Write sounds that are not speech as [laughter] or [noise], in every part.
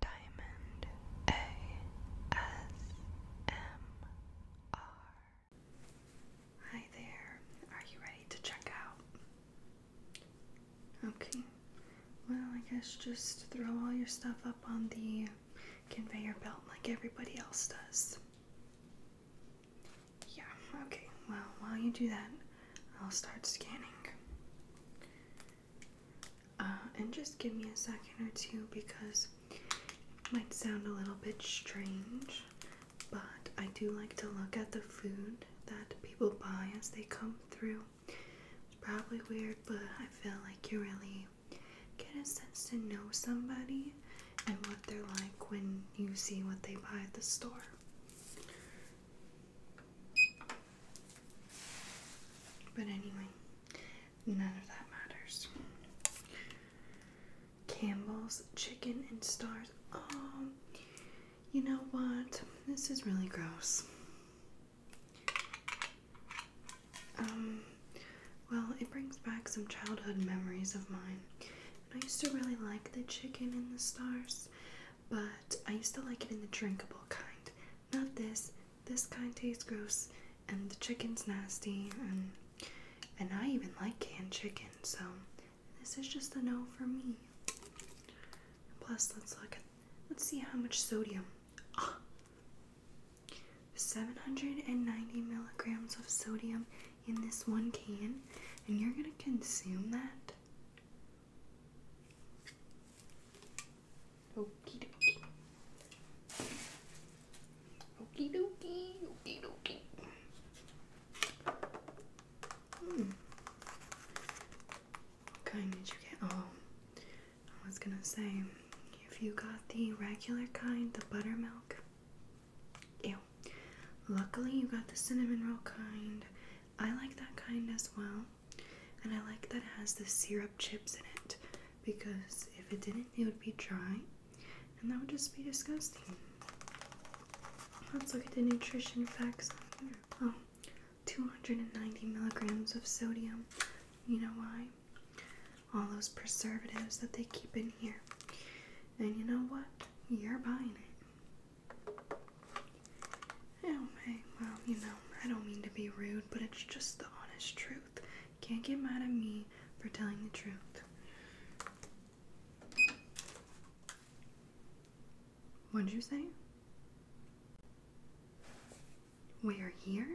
Diamond ASMR. Hi there. Are you ready to check out? Okay. Well, I guess just throw all your stuff up on the conveyor belt like everybody else does. Yeah, okay. Well, while you do that, I'll start scanning. Uh, and just give me a second or two because it might sound a little bit strange, but I do like to look at the food that people buy as they come through. It's probably weird, but I feel like you really get a sense to know somebody and what they're like when you see what they buy at the store. But anyway, none of that matters. Campbell's chicken and stars. Oh, you know what? This is really gross. Um, well, it brings back some childhood memories of mine. I used to really like the chicken and the stars but I used to like it in the drinkable kind. Not this. This kind tastes gross, and the chicken's nasty, and and I even like canned chicken, so this is just a no for me. Plus, let's look. At, let's see how much sodium. Oh, ah. 790 milligrams of sodium in this one can, and you're gonna consume that? Okey dokey, okey dokey, okey dokey. Hmm. What kind did you get? Oh, I was gonna say, if you got the regular kind, the buttermilk, ew. Luckily, you got the cinnamon roll kind. I like that kind as well. And I like that it has the syrup chips in it because if it didn't, it would be dry and that would just be disgusting. Let's look at the nutrition facts Oh, 290 milligrams of sodium. You know why? All those preservatives that they keep in here. And you know what? You're buying it hey, well, you know, I don't mean to be rude, but it's just the honest truth. You can't get mad at me for telling the truth. what did you say? We're here?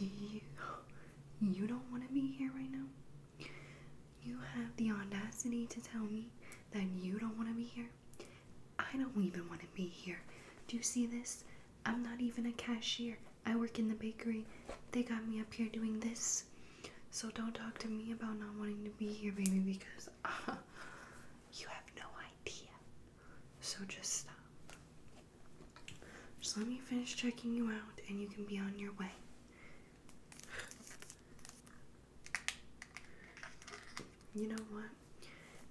You, [gasps] you don't want to be here right now? You have the audacity to tell me that you don't want to be here? I don't even want to be here. Do you see this? I'm not even a cashier. I work in the bakery. They got me up here doing this. So don't talk to me about not wanting to be here, baby, because [laughs] you have no idea. So just stop. Just let me finish checking you out and you can be on your way. You know what?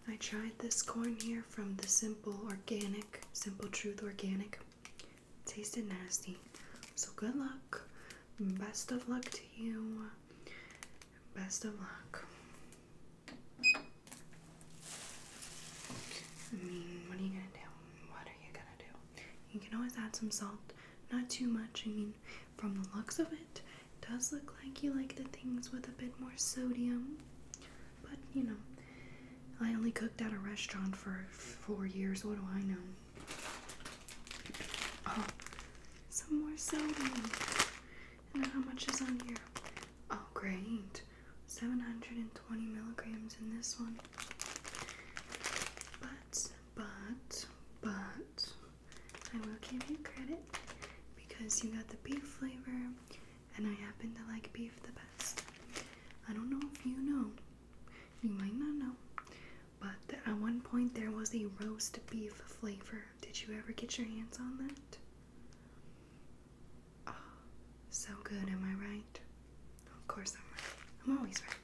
I tried this corn here from the Simple Organic, Simple Truth Organic. Tasted nasty. So good luck. Best of luck to you. Best of luck. I mean, what are you gonna do? What are you gonna do? You can always add some salt, not too much. I mean, from the looks of it, does look like you like the things with a bit more sodium. But you know, I only cooked at a restaurant for four years. What do I know? Oh, some more sodium. And how much is on here? Oh, great. 720 milligrams in this one. But but, but, I will give you credit because you got the beef flavor and I happen to like beef the best. I don't know if you know, you might not know, but at one point there was a roast beef flavor. Did you ever get your hands on that? Oh, so good, am I right? Of course I'm right. I'm always right.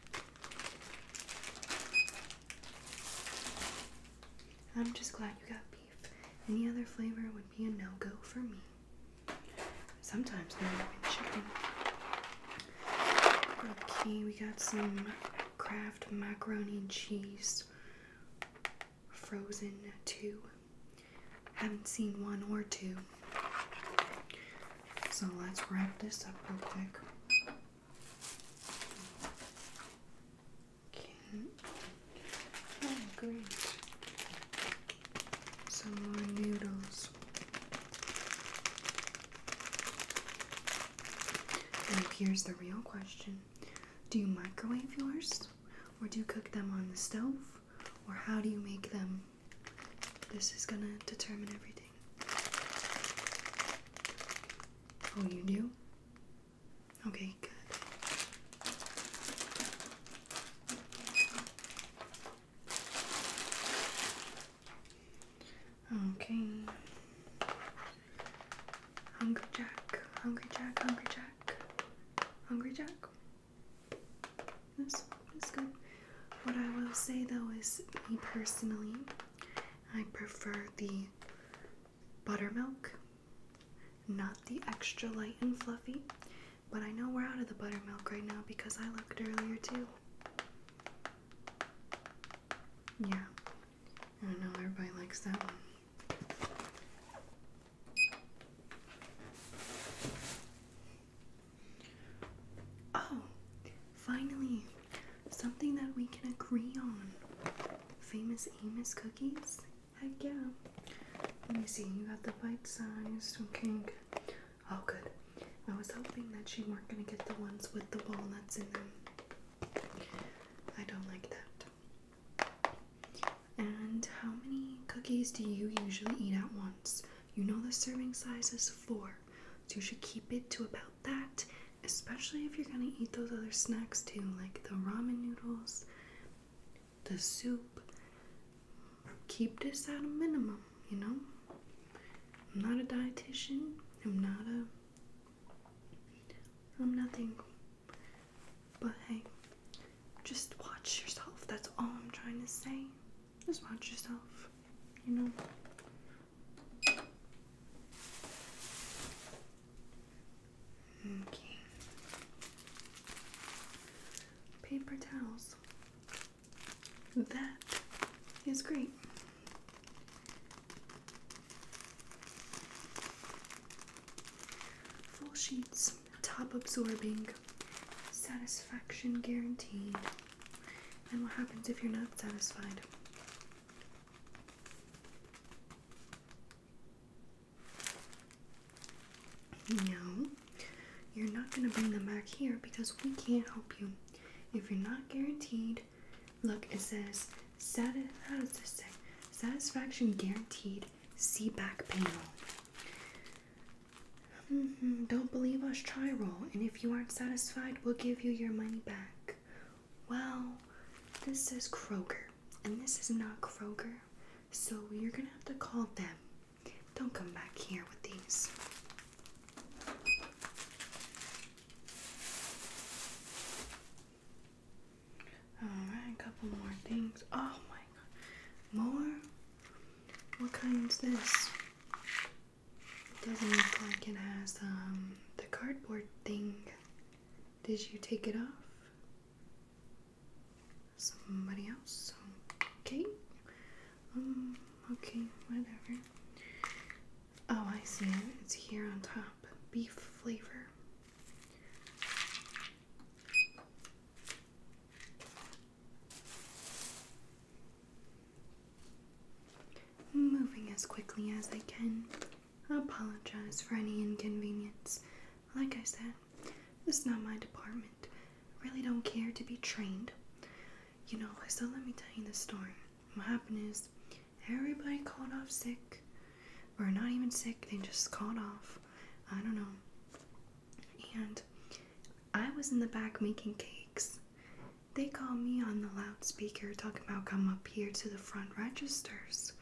I'm just glad you got beef. Any other flavor would be a no go for me. Sometimes not even chicken. Okay, we got some Kraft macaroni and cheese. Frozen too. Haven't seen one or two. So let's wrap this up real quick. Okay. Oh, great. Some more noodles. And here's the real question Do you microwave yours? Or do you cook them on the stove? Or how do you make them? This is gonna determine everything. Oh, you do? Okay, good. Okay. Hungry Jack, Hungry Jack, Hungry Jack, Hungry Jack. That's, that's good. What I will say though is, me personally, I prefer the buttermilk, not the extra light and fluffy. But I know we're out of the buttermilk right now because I looked earlier too. Yeah, I know everybody likes that one. Oh, finally, something that we can agree on. Famous Amos cookies? Heck yeah. Let me see, you got the bite sized, okay. Oh, good. I was hoping that you weren't gonna get the ones with the walnuts in them. I don't like that. And how many cookies do you usually eat at once? You know the serving size is four, so you should keep it to about that, especially if you're gonna eat those other snacks too, like the ramen noodles, the soup. Keep this at a minimum, you know? I'm not a dietitian, I'm not a. I'm nothing. But hey, just watch yourself. That's all I'm trying to say. Just watch yourself, you know. Okay. Paper towels. That is great. Full sheets, top absorbing, satisfaction guaranteed. And what happens if you're not satisfied? No, you're not going to bring them back here because we can't help you. If you're not guaranteed, look, it says, Satisfaction guaranteed, see back panel. Mm-hmm. Don't believe us, try and if you aren't satisfied, we'll give you your money back. Well, this is Kroger, and this is not Kroger, so you're gonna have to call them. Don't come back here with these. Alright, a couple more things. Oh my god. More? What kind kind's this? It doesn't look like it has um the cardboard thing. Did you take it off? Somebody else? Okay. Um, okay, whatever. Oh, I see it. It's here on top. Beef flavor. Moving as quickly as I can. I apologize for any inconvenience. Like I said, this is not my department. I really don't care to be trained. You know, so let me tell you the story. What happened is everybody called off sick. Or not even sick, they just called off. I don't know and I was in the back making cakes. They called me on the loudspeaker talking about come up here to the front registers.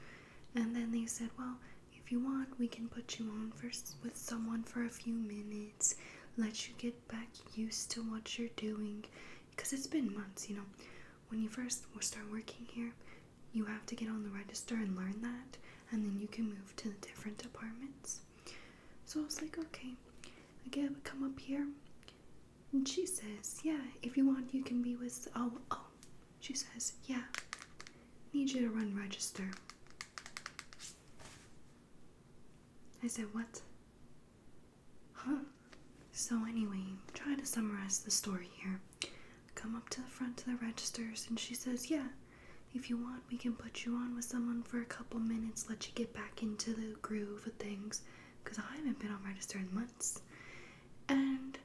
And then they said, Well, if you want, we can put you on first with someone for a few minutes, let you get back used to what you're doing. Because it's been months, you know. When you first start working here, you have to get on the register and learn that, and then you can move to the different departments. So I was like, okay, I would come up here. And she says, yeah, if you want, you can be with. Oh, oh, she says, yeah, need you to run register. I said, what? Huh. So, anyway, trying to summarize the story here come up to the front to the registers and she says, Yeah, if you want, we can put you on with someone for a couple minutes, let you get back into the groove of things. Because I haven't been on register in months. And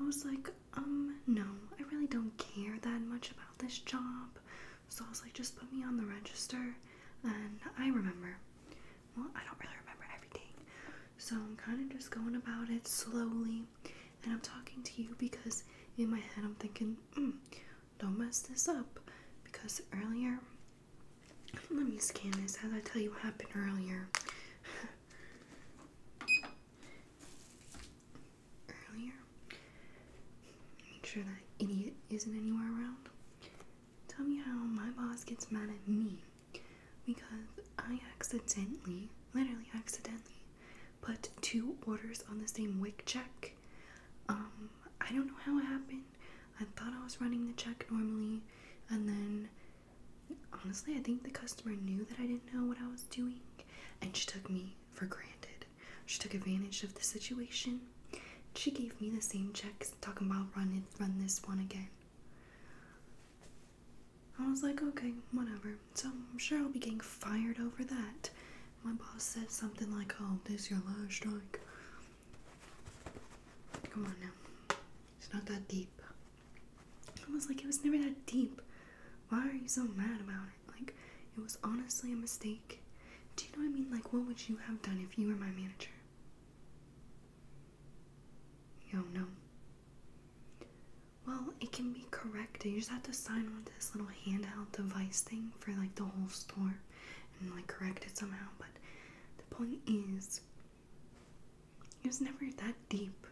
I was like, um, no, I really don't care that much about this job. So I was like, just put me on the register. And I remember. Well, I don't really remember everything. So I'm kind of just going about it slowly, and I'm talking to you because in my head I'm thinking, mm, don't mess this up because earlier, let me scan this as I tell you what happened earlier. earlier, make sure that idiot isn't anywhere around. Tell me how my boss gets mad at me because I accidentally, literally accidentally, put two orders on the same wig check. Um, I don't know how it happened. I thought I was running the check normally, and then honestly, I think the customer knew that I didn't know what I was doing, and she took me for granted. She took advantage of the situation. She gave me the same checks, talking about run it, run this one again. I was like, okay, whatever. So I'm sure I'll be getting fired over that. My boss said something like, oh, this your last strike. Come on now. It's not that deep. I was like, it was never that deep. Why are you so mad about it? Like, it was honestly a mistake. Do you know what I mean? Like, what would you have done if you were my manager? Yo, no. Well, it can be corrected. You just have to sign with this little handheld device thing for like the whole store and like correct it somehow. But the point is, it was never that deep.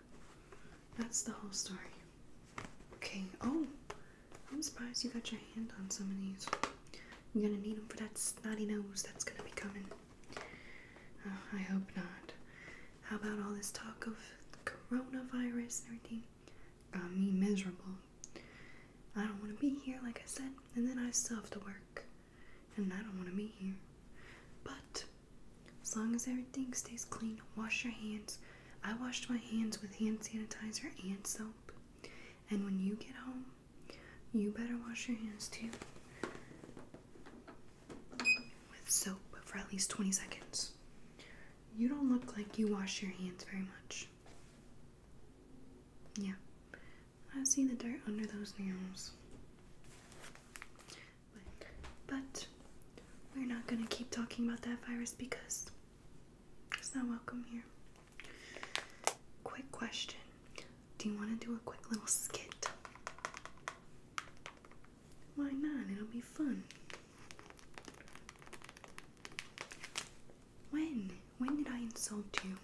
That's the whole story. Okay, oh, I'm surprised you got your hand on some of these. You're gonna need them for that snotty nose that's gonna be coming. Uh, I hope not. How about all this talk of coronavirus and everything? Got me miserable. I don't want to be here, like I said, and then I still have to work. And I don't want to be here. But as long as everything stays clean, wash your hands. I washed my hands with hand sanitizer and soap. And when you get home, you better wash your hands too with soap for at least 20 seconds. You don't look like you wash your hands very much. Yeah, I see the dirt under those nails. But, but we're not gonna keep talking about that virus because it's not welcome here. Quick question Do you wanna do a quick little skit? Why not? It'll be fun. When? When did I insult you?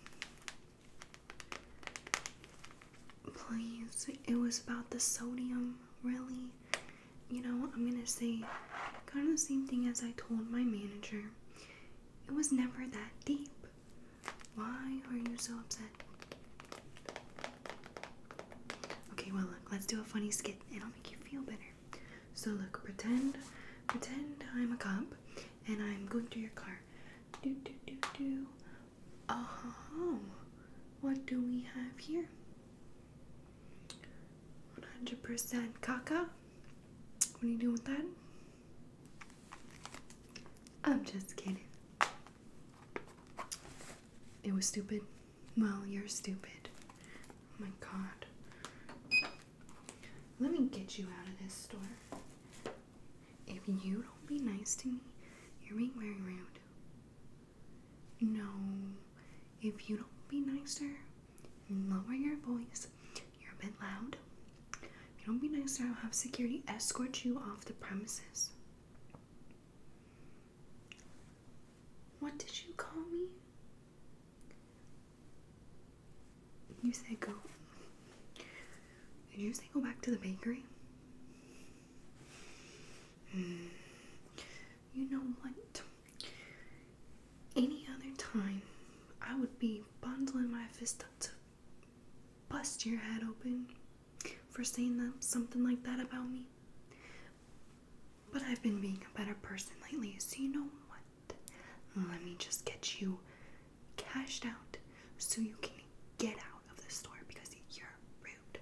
Please, it was about the sodium, really. You know, I'm gonna say kind of the same thing as I told my manager. It was never that deep. Why are you so upset? Okay, well let's do a funny skit. It'll make you feel better. So look, pretend, pretend I'm a cop, and I'm going to your car. Do do do do. Oh, what do we have here? 100% caca. What are you doing with that? I'm just kidding. It was stupid. Well, you're stupid. Oh my god. Let me get you out of this store. If you don't be nice to me, you're being very rude. No, if you don't be nicer, lower your voice. You're a bit loud. If you don't be nicer, I'll have security escort you off the premises. What did you call me? You said go. Did you say go back to the bakery? Hmm. You know what? Any other time, I would be bundling my fist up to bust your head open for saying that, something like that about me. But I've been being a better person lately, so you know what? Let me just get you cashed out so you can get out of the store because you're rude.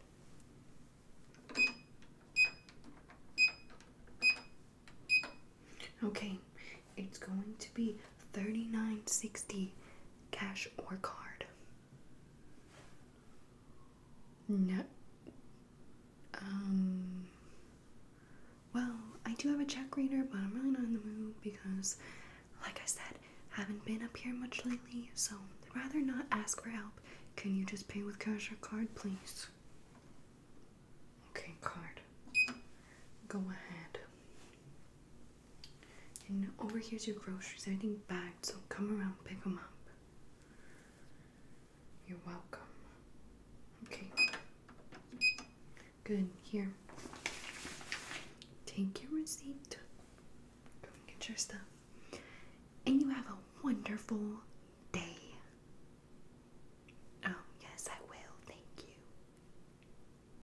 Okay, it's going to be Thirty nine sixty, cash or card. No. Um. Well, I do have a check reader, but I'm really not in the mood because, like I said, haven't been up here much lately. So I'd rather not ask for help. Can you just pay with cash or card, please? Okay, card. Go ahead. And over here's your groceries. Everything bagged, so come around, pick them up. You're welcome. Okay. Good. Here. Take your receipt. Go get your stuff. And you have a wonderful day. Oh, yes, I will. Thank you.